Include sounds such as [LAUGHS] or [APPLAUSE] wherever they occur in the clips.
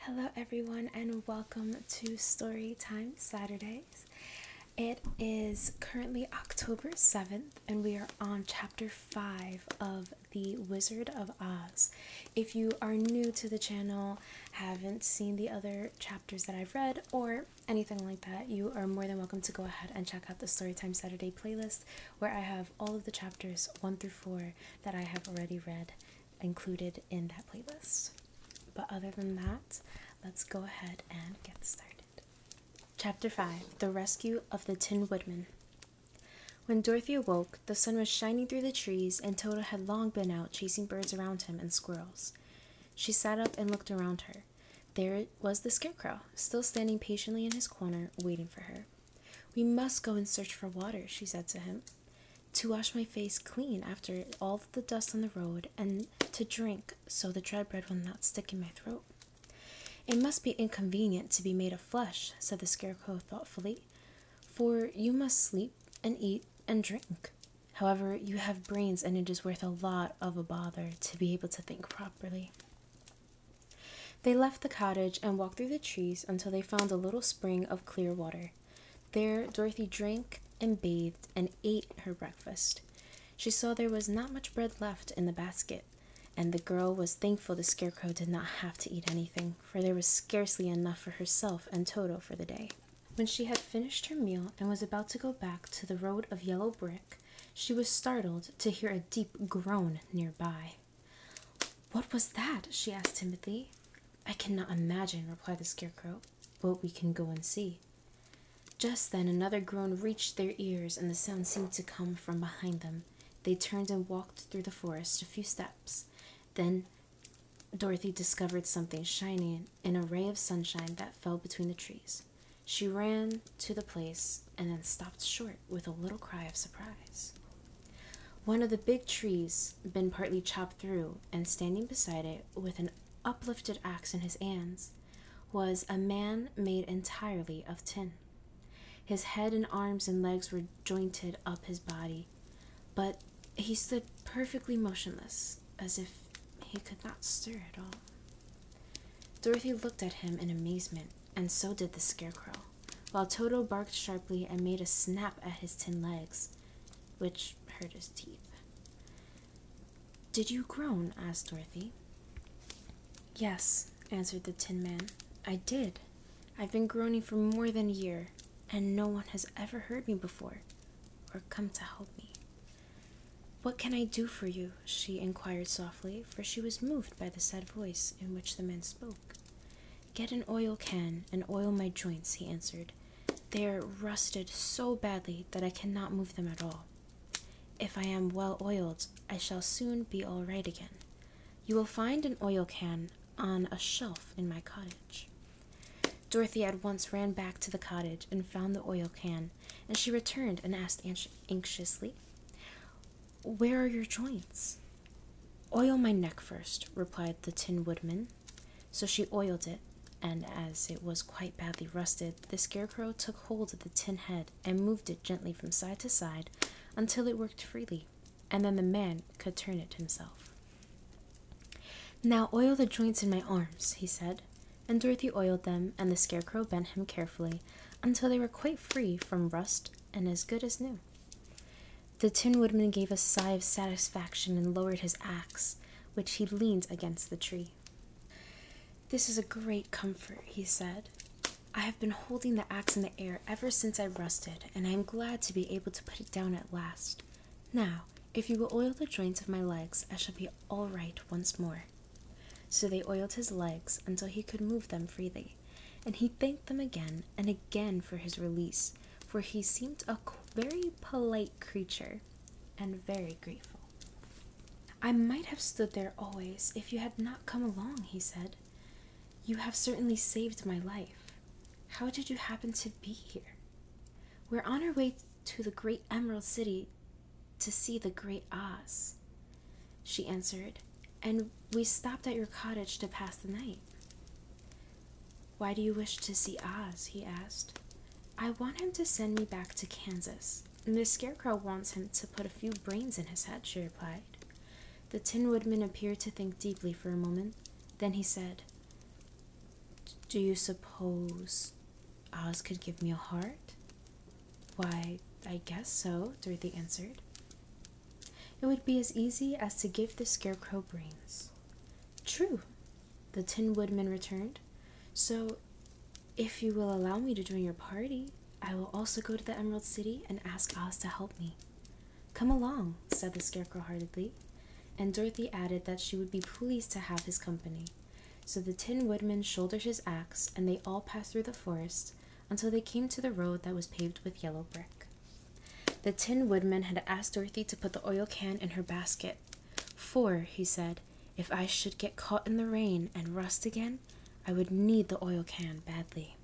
Hello, everyone, and welcome to Storytime Saturdays. It is currently October 7th, and we are on chapter 5 of The Wizard of Oz. If you are new to the channel, haven't seen the other chapters that I've read, or anything like that, you are more than welcome to go ahead and check out the Storytime Saturday playlist where I have all of the chapters 1 through 4 that I have already read included in that playlist. But other than that, let's go ahead and get started. Chapter 5 The Rescue of the Tin Woodman. When Dorothy awoke, the sun was shining through the trees, and Toto had long been out chasing birds around him and squirrels. She sat up and looked around her. There was the scarecrow, still standing patiently in his corner, waiting for her. We must go and search for water, she said to him, to wash my face clean after all the dust on the road, and to drink so the dry bread will not stick in my throat. It must be inconvenient to be made of flesh, said the Scarecrow thoughtfully, for you must sleep and eat and drink. However, you have brains, and it is worth a lot of a bother to be able to think properly. They left the cottage and walked through the trees until they found a little spring of clear water. There, Dorothy drank and bathed and ate her breakfast. She saw there was not much bread left in the basket, and the girl was thankful the scarecrow did not have to eat anything, for there was scarcely enough for herself and Toto for the day. When she had finished her meal and was about to go back to the road of yellow brick, she was startled to hear a deep groan nearby. What was that? she asked Timothy. I cannot imagine, replied the scarecrow, but we can go and see. Just then another groan reached their ears, and the sound seemed to come from behind them. They turned and walked through the forest a few steps. Then Dorothy discovered something shining in a ray of sunshine that fell between the trees. She ran to the place and then stopped short with a little cry of surprise. One of the big trees had been partly chopped through, and standing beside it with an uplifted axe in his hands was a man made entirely of tin. His head and arms and legs were jointed up his body, but he stood perfectly motionless, as if he could not stir at all. Dorothy looked at him in amazement, and so did the Scarecrow while Toto barked sharply and made a snap at his tin legs, which hurt his teeth. Did you groan? asked Dorothy. Yes, answered the Tin Man. I did. I've been groaning for more than a year, and no one has ever heard me before or come to help me. What can I do for you? she inquired softly, for she was moved by the sad voice in which the man spoke. Get an oil can and oil my joints, he answered. They are rusted so badly that I cannot move them at all. If I am well oiled, I shall soon be all right again. You will find an oil can on a shelf in my cottage. Dorothy at once ran back to the cottage and found the oil can, and she returned and asked anxiously, where are your joints? Oil my neck first, replied the Tin Woodman. So she oiled it, and as it was quite badly rusted, the Scarecrow took hold of the tin head and moved it gently from side to side until it worked freely, and then the man could turn it himself. Now oil the joints in my arms, he said, and Dorothy oiled them, and the Scarecrow bent him carefully until they were quite free from rust and as good as new. The Tin Woodman gave a sigh of satisfaction and lowered his axe, which he leaned against the tree. This is a great comfort, he said. I have been holding the axe in the air ever since I rusted, and I am glad to be able to put it down at last. Now, if you will oil the joints of my legs, I shall be all right once more. So they oiled his legs until he could move them freely and he thanked them again and again for his release, for he seemed a very polite creature and very grateful. I might have stood there always if you had not come along, he said. You have certainly saved my life. How did you happen to be here? We're on our way to the great Emerald City to see the great Oz she answered, and we stopped at your cottage to pass the night. Why do you wish to see Oz? he asked. I want him to send me back to Kansas. The Scarecrow wants him to put a few brains in his head, she replied. The Tin Woodman appeared to think deeply for a moment. Then he said, Do you suppose Oz could give me a heart? Why, I guess so, Dorothy answered. It would be as easy as to give the scarecrow brains. True, the Tin Woodman returned. So, if you will allow me to join your party, I will also go to the Emerald City and ask Oz to help me. Come along, said the scarecrow heartily, and Dorothy added that she would be pleased to have his company. So the Tin Woodman shouldered his axe, and they all passed through the forest, until they came to the road that was paved with yellow brick. The Tin Woodman had asked Dorothy to put the oil can in her basket, for, he said, if I should get caught in the rain and rust again, I would need the oil can badly.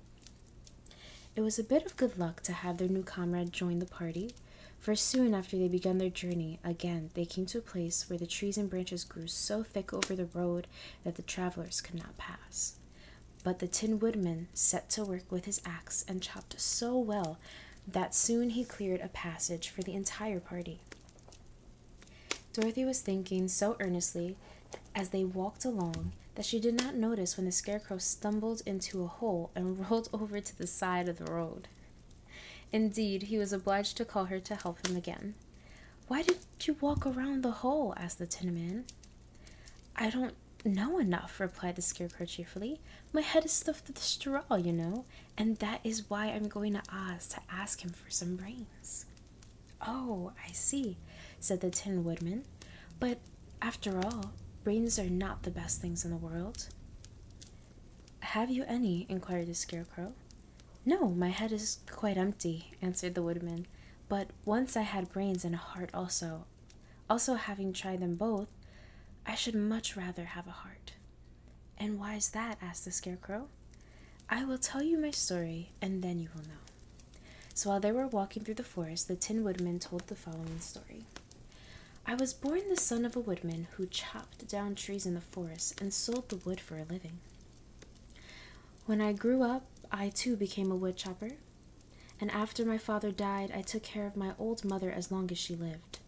It was a bit of good luck to have their new comrade join the party, for soon after they began their journey, again they came to a place where the trees and branches grew so thick over the road that the travelers could not pass. But the Tin Woodman set to work with his axe and chopped so well that soon he cleared a passage for the entire party. Dorothy was thinking so earnestly as they walked along that she did not notice when the Scarecrow stumbled into a hole and [LAUGHS] rolled over to the side of the road. Indeed, he was obliged to call her to help him again. Why did you walk around the hole? asked the Tin Man. I don't know enough, replied the Scarecrow cheerfully. My head is stuffed with straw, you know, and that is why I'm going to Oz to ask him for some brains. Oh, I see, said the Tin Woodman. But after all, brains are not the best things in the world. Have you any? inquired the Scarecrow. No, my head is quite empty, answered the woodman. But once I had brains and a heart also. Also, having tried them both, I should much rather have a heart. And why is that? asked the scarecrow. I will tell you my story, and then you will know. So while they were walking through the forest, the Tin Woodman told the following story. I was born the son of a woodman who chopped down trees in the forest and sold the wood for a living. When I grew up, I too became a wood chopper, and after my father died, I took care of my old mother as long as she lived.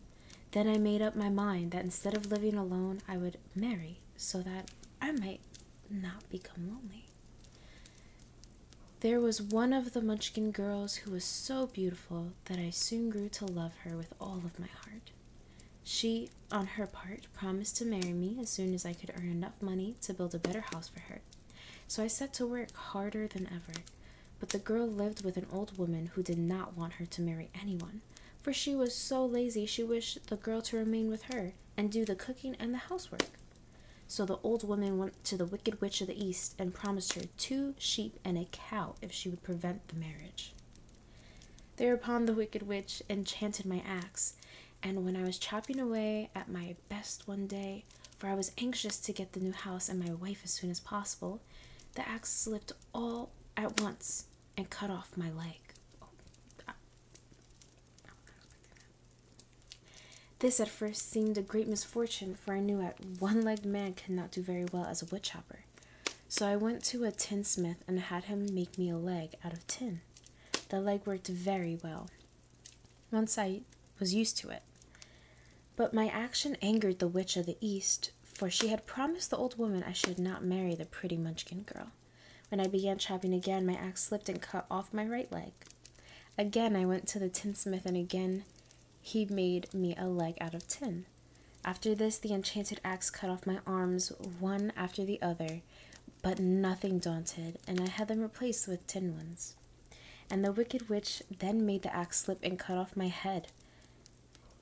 Then I made up my mind that instead of living alone, I would marry so that I might not become lonely. There was one of the Munchkin girls who was so beautiful that I soon grew to love her with all of my heart. She, on her part, promised to marry me as soon as I could earn enough money to build a better house for her. So I set to work harder than ever. But the girl lived with an old woman who did not want her to marry anyone, for she was so lazy she wished the girl to remain with her and do the cooking and the housework. So the old woman went to the wicked witch of the east and promised her two sheep and a cow if she would prevent the marriage. Thereupon the wicked witch enchanted my axe, and when I was chopping away at my best one day, for I was anxious to get the new house and my wife as soon as possible, the axe slipped all at once and cut off my leg. this at first seemed a great misfortune, for I knew that one legged man cannot do very well as a wood chopper. So I went to a tinsmith and had him make me a leg out of tin. The leg worked very well once I was used to it. But my action angered the witch of the east, for she had promised the old woman I should not marry the pretty munchkin girl. When I began chopping again, my axe slipped and cut off my right leg. Again, I went to the tinsmith, and again, he made me a leg out of tin. After this, the enchanted axe cut off my arms one after the other, but nothing daunted, and I had them replaced with tin ones. And the wicked witch then made the axe slip and cut off my head.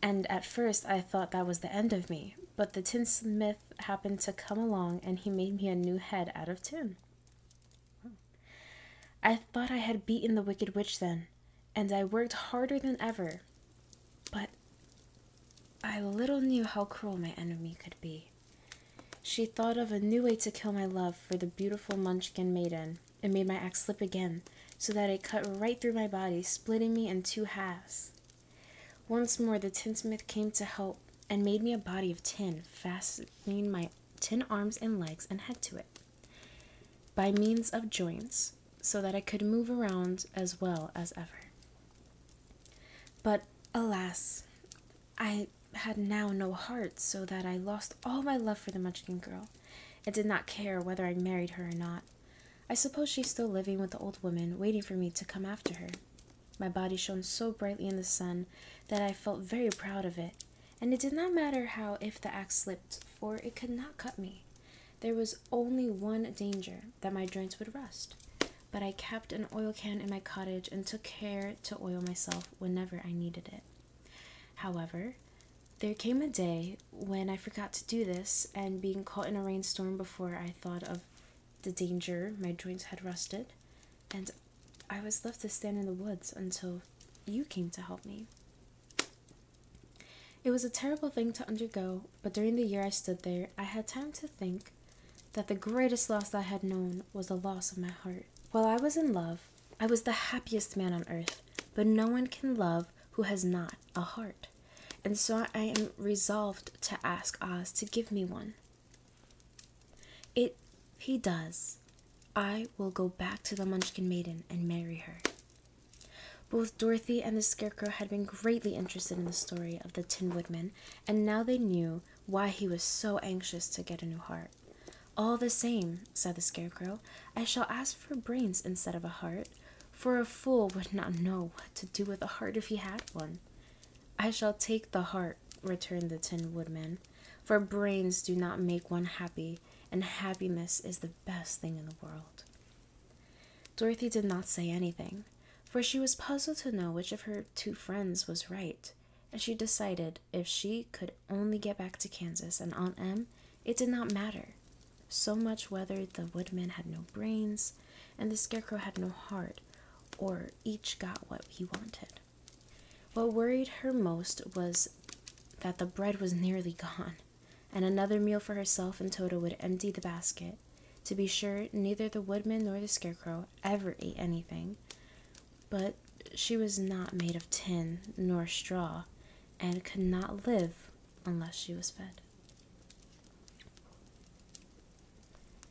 And at first I thought that was the end of me, but the tinsmith happened to come along and he made me a new head out of tin. I thought I had beaten the wicked witch then, and I worked harder than ever, but I little knew how cruel my enemy could be. She thought of a new way to kill my love for the beautiful Munchkin maiden, and made my axe slip again, so that it cut right through my body, splitting me in two halves. Once more the tinsmith came to help, and made me a body of tin, fastening my tin arms and legs and head to it. By means of joints, so that I could move around as well as ever. But alas, I had now no heart, so that I lost all my love for the Munchkin girl, and did not care whether I married her or not. I suppose she's still living with the old woman, waiting for me to come after her. My body shone so brightly in the sun that I felt very proud of it, and it did not matter how if the axe slipped, for it could not cut me. There was only one danger that my joints would rust, but I kept an oil can in my cottage and took care to oil myself whenever I needed it. However, there came a day when I forgot to do this, and being caught in a rainstorm before I thought of the danger, my joints had rusted, and I was left to stand in the woods until you came to help me. It was a terrible thing to undergo, but during the year I stood there, I had time to think that the greatest loss I had known was the loss of my heart. While I was in love, I was the happiest man on earth, but no one can love who has not a heart. And so I am resolved to ask Oz to give me one. It he does. I will go back to the Munchkin Maiden and marry her. Both Dorothy and the Scarecrow had been greatly interested in the story of the Tin Woodman, and now they knew why he was so anxious to get a new heart. All the same, said the Scarecrow, I shall ask for brains instead of a heart, for a fool would not know what to do with a heart if he had one. I shall take the heart, returned the Tin Woodman, for brains do not make one happy, and happiness is the best thing in the world. Dorothy did not say anything, for she was puzzled to know which of her two friends was right, and she decided if she could only get back to Kansas and Aunt Em, it did not matter. So much whether the woodman had no brains and the scarecrow had no heart, or each got what he wanted. What worried her most was that the bread was nearly gone and another meal for herself and Toto would empty the basket. To be sure, neither the woodman nor the scarecrow ever ate anything, but she was not made of tin nor straw, and could not live unless she was fed.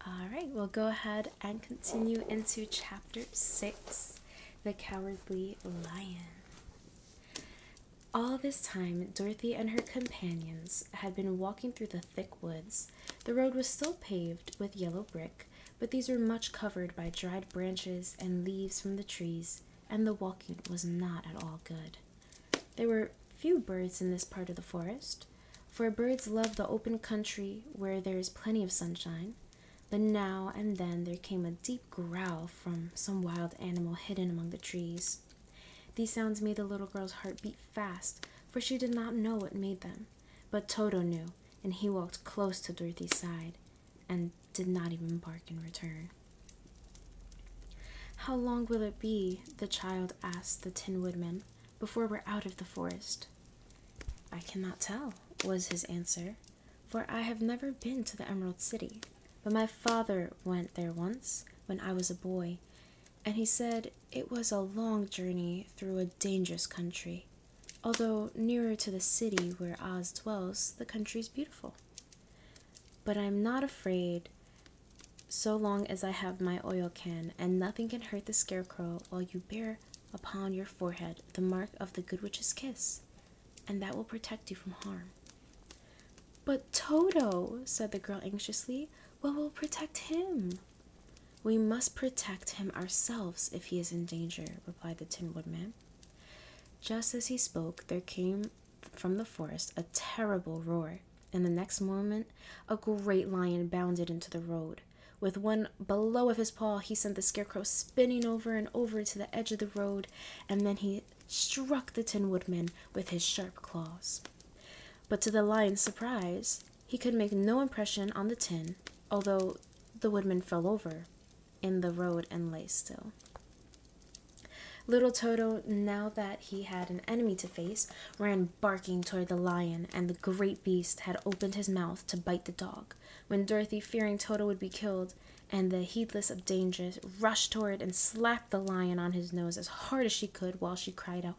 All right, we'll go ahead and continue into chapter six The Cowardly Lion. All this time, Dorothy and her companions had been walking through the thick woods. The road was still paved with yellow brick, but these were much covered by dried branches and leaves from the trees, and the walking was not at all good. There were few birds in this part of the forest, for birds love the open country where there is plenty of sunshine. But now and then there came a deep growl from some wild animal hidden among the trees. These sounds made the little girl's heart beat fast, for she did not know what made them. But Toto knew, and he walked close to Dorothy's side and did not even bark in return. How long will it be, the child asked the Tin Woodman, before we're out of the forest? I cannot tell, was his answer for I have never been to the Emerald City, but my father went there once when I was a boy, and he said it was a long journey through a dangerous country. Although nearer to the city where Oz dwells, the country is beautiful. But I'm not afraid so long as I have my oil can, and nothing can hurt the scarecrow while you bear upon your forehead the mark of the Good Witch's kiss and that will protect you from harm. But Toto, said the girl anxiously, what will protect him? We must protect him ourselves if he is in danger, replied the Tin Woodman. Just as he spoke, there came from the forest a terrible roar, and the next moment a great lion bounded into the road. With one blow of his paw, he sent the scarecrow spinning over and over to the edge of the road, and then he struck the Tin Woodman with his sharp claws. But to the lion's surprise, he could make no impression on the tin, although the woodman fell over in the road and lay still. Little Toto, now that he had an enemy to face, ran barking toward the lion, and the great beast had opened his mouth to bite the dog. When Dorothy, fearing Toto would be killed, and the heedless of dangers rushed toward it and slapped the lion on his nose as hard as she could while she cried out,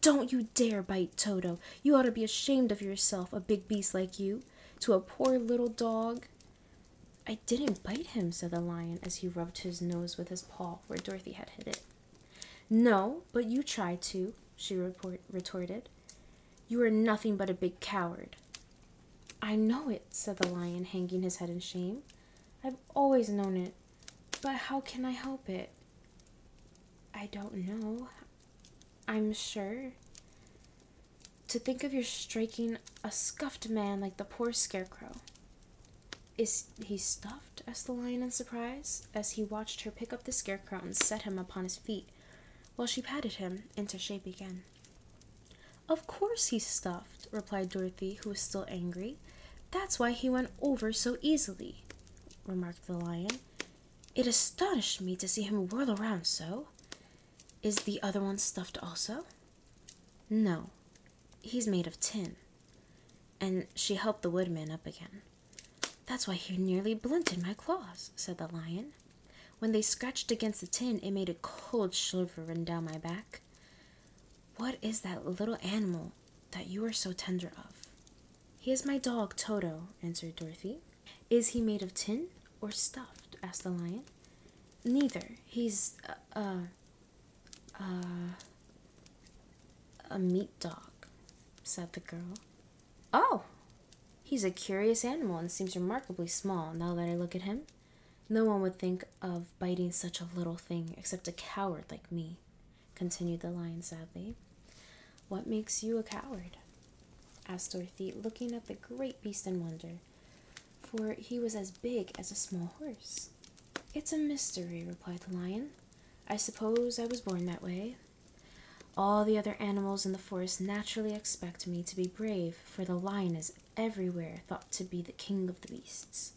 Don't you dare bite Toto! You ought to be ashamed of yourself, a big beast like you, to a poor little dog. I didn't bite him, said the lion as he rubbed his nose with his paw where Dorothy had hit it. No, but you tried to, she retorted. You are nothing but a big coward. I know it, said the lion, hanging his head in shame. I've always known it, but how can I help it? I don't know. I'm sure. To think of your striking a scuffed man like the poor scarecrow. Is he stuffed? asked the lion in surprise, as he watched her pick up the scarecrow and set him upon his feet, while she patted him into shape again. Of course he's stuffed, replied Dorothy, who was still angry. That's why he went over so easily, remarked the lion. It astonished me to see him whirl around so. Is the other one stuffed also? No, he's made of tin. And she helped the woodman up again. That's why he nearly blunted my claws, said the lion tin. When they scratched against the tin, it made a cold shiver run down my back. What is that little animal that you are so tender of? He is my dog, Toto, answered Dorothy. Is he made of tin or stuffed? asked the lion. Neither. He's a, a, a, a meat dog, said the girl. Oh, He's a curious animal and seems remarkably small now that I look at him. No one would think of biting such a little thing except a coward like me, continued the lion sadly. What makes you a coward? asked Dorothy, looking at the great beast in wonder, for he was as big as a small horse. It's a mystery, replied the lion. I suppose I was born that way. All the other animals in the forest naturally expect me to be brave for the lion is everywhere thought to be the king of the beasts.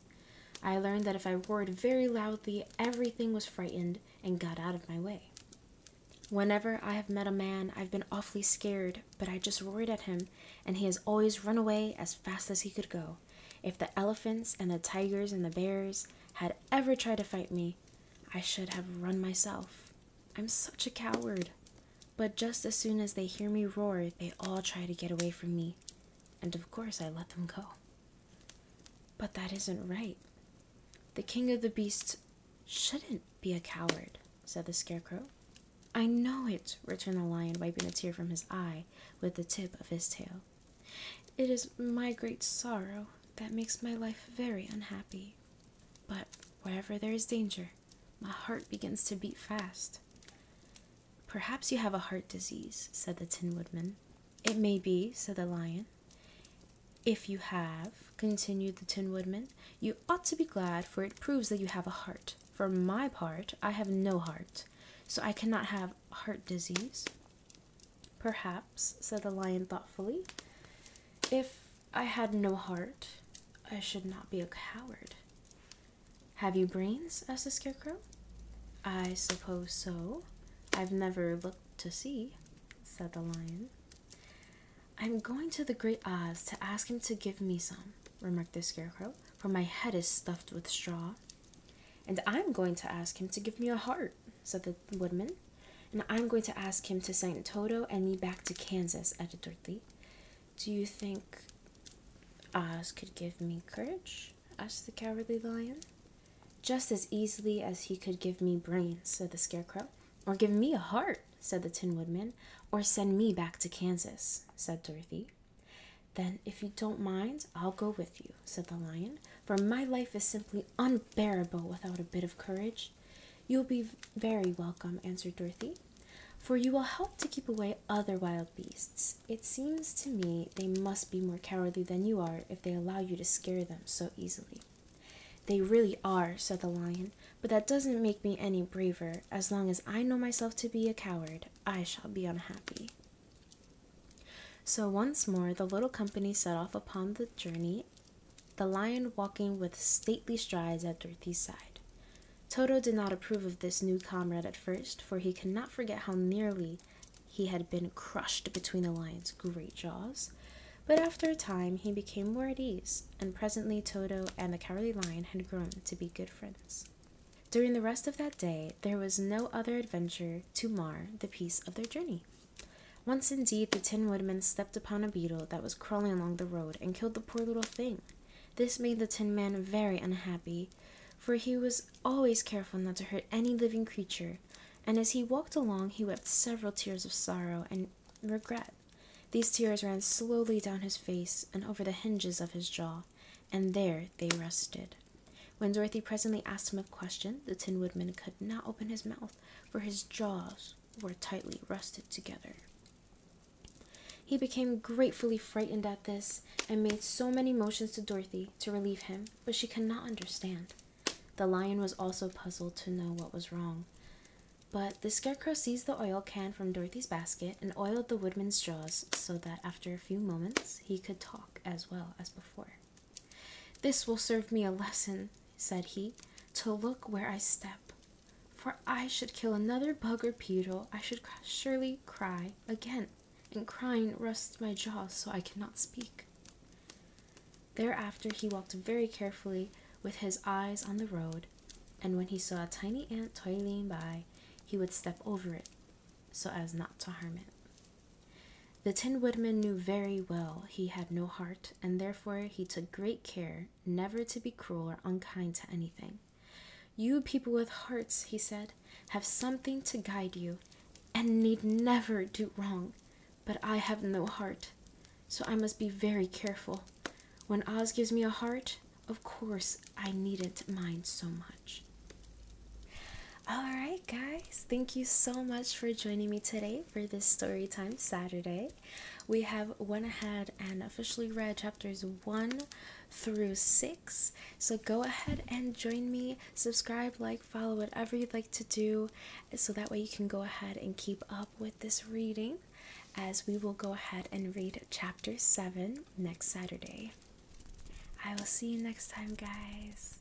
I learned that if I roared very loudly, everything was frightened and got out of my way. Whenever I have met a man, I've been awfully scared, but I just roared at him, and he has always run away as fast as he could go. If the elephants and the tigers and the bears had ever tried to fight me, I should have run myself. I'm such a coward. But just as soon as they hear me roar, they all try to get away from me. And of course, I let them go. But that isn't right. The king of the beasts shouldn't be a coward, said the scarecrow. I know it, returned the lion, wiping a tear from his eye with the tip of his tail. It is my great sorrow that makes my life very unhappy but wherever there is danger, my heart begins to beat fast. Perhaps you have a heart disease, said the Tin Woodman. It may be, said the Lion. If you have, continued the Tin Woodman, you ought to be glad, for it proves that you have a heart. For my part, I have no heart, so I cannot have heart disease. Perhaps, said the Lion thoughtfully, if I had no heart. I should not be a coward. Have you brains? asked the scarecrow. I suppose so. I've never looked to see, said the lion. I'm going to the great Oz to ask him to give me some, remarked the scarecrow, for my head is stuffed with straw. And I'm going to ask him to give me a heart, said the woodman, and I'm going to ask him to send Toto and me back to Kansas, added Dorothy. Do you think Oz could give me courage? asked the cowardly lion. Just as easily as he could give me brains, said the scarecrow. Or give me a heart, said the Tin Woodman. Or send me back to Kansas, said Dorothy. Then, if you don't mind, I'll go with you, said the lion, for my life is simply unbearable without a bit of courage. You'll be very welcome, answered Dorothy, for you will help to keep away other wild beasts. It seems to me they must be more cowardly than you are if they allow you to scare them so easily. They really are, said the lion, but that doesn't make me any braver. As long as I know myself to be a coward, I shall be unhappy. So once more the little company set off upon the journey, the lion walking with stately strides at Dorothy's side. Toto did not approve of this new comrade at first, for he could not forget how nearly he had been crushed between the lion's great jaws. But after a time, he became more at ease, and presently Toto and the cowardly lion had grown to be good friends. During the rest of that day, there was no other adventure to mar the peace of their journey. Once indeed the Tin Woodman stepped upon a beetle that was crawling along the road and killed the poor little thing. This made the Tin Man very unhappy, for he was always careful not to hurt any living creature, and as he walked along he wept several tears of sorrow and regret. These tears ran slowly down his face and over the hinges of his jaw, and there they rested. When Dorothy presently asked him a question, the Tin Woodman could not open his mouth, for his jaws were tightly rusted together. He became gratefully frightened at this and made so many motions to Dorothy to relieve him, but she could not understand. The lion was also puzzled to know what was wrong. But the scarecrow seized the oil can from Dorothy's basket and oiled the woodman's jaws so that after a few moments he could talk as well as before. This will serve me a lesson, said he, to look where I step. For I should kill another bug or beetle, I should surely cry again, and crying rusts my jaw so I cannot speak. Thereafter he walked very carefully with his eyes on the road, and when he saw a tiny ant toiling by, he would step over it so as not to harm it. The Tin Woodman knew very well he had no heart, and therefore he took great care never to be cruel or unkind to anything. You people with hearts, he said, have something to guide you and need never do wrong, but I have no heart, so I must be very careful. When Oz gives me a heart, of course I needn't mind so much. All right, guys, thank you so much for joining me today for this story time Saturday. We have went ahead and officially read chapters 1 through 6. So go ahead and join me, subscribe, like, follow, whatever you'd like to do, so that way you can go ahead and keep up with this reading as we will go ahead and read chapter 7 next Saturday. I will see you next time, guys.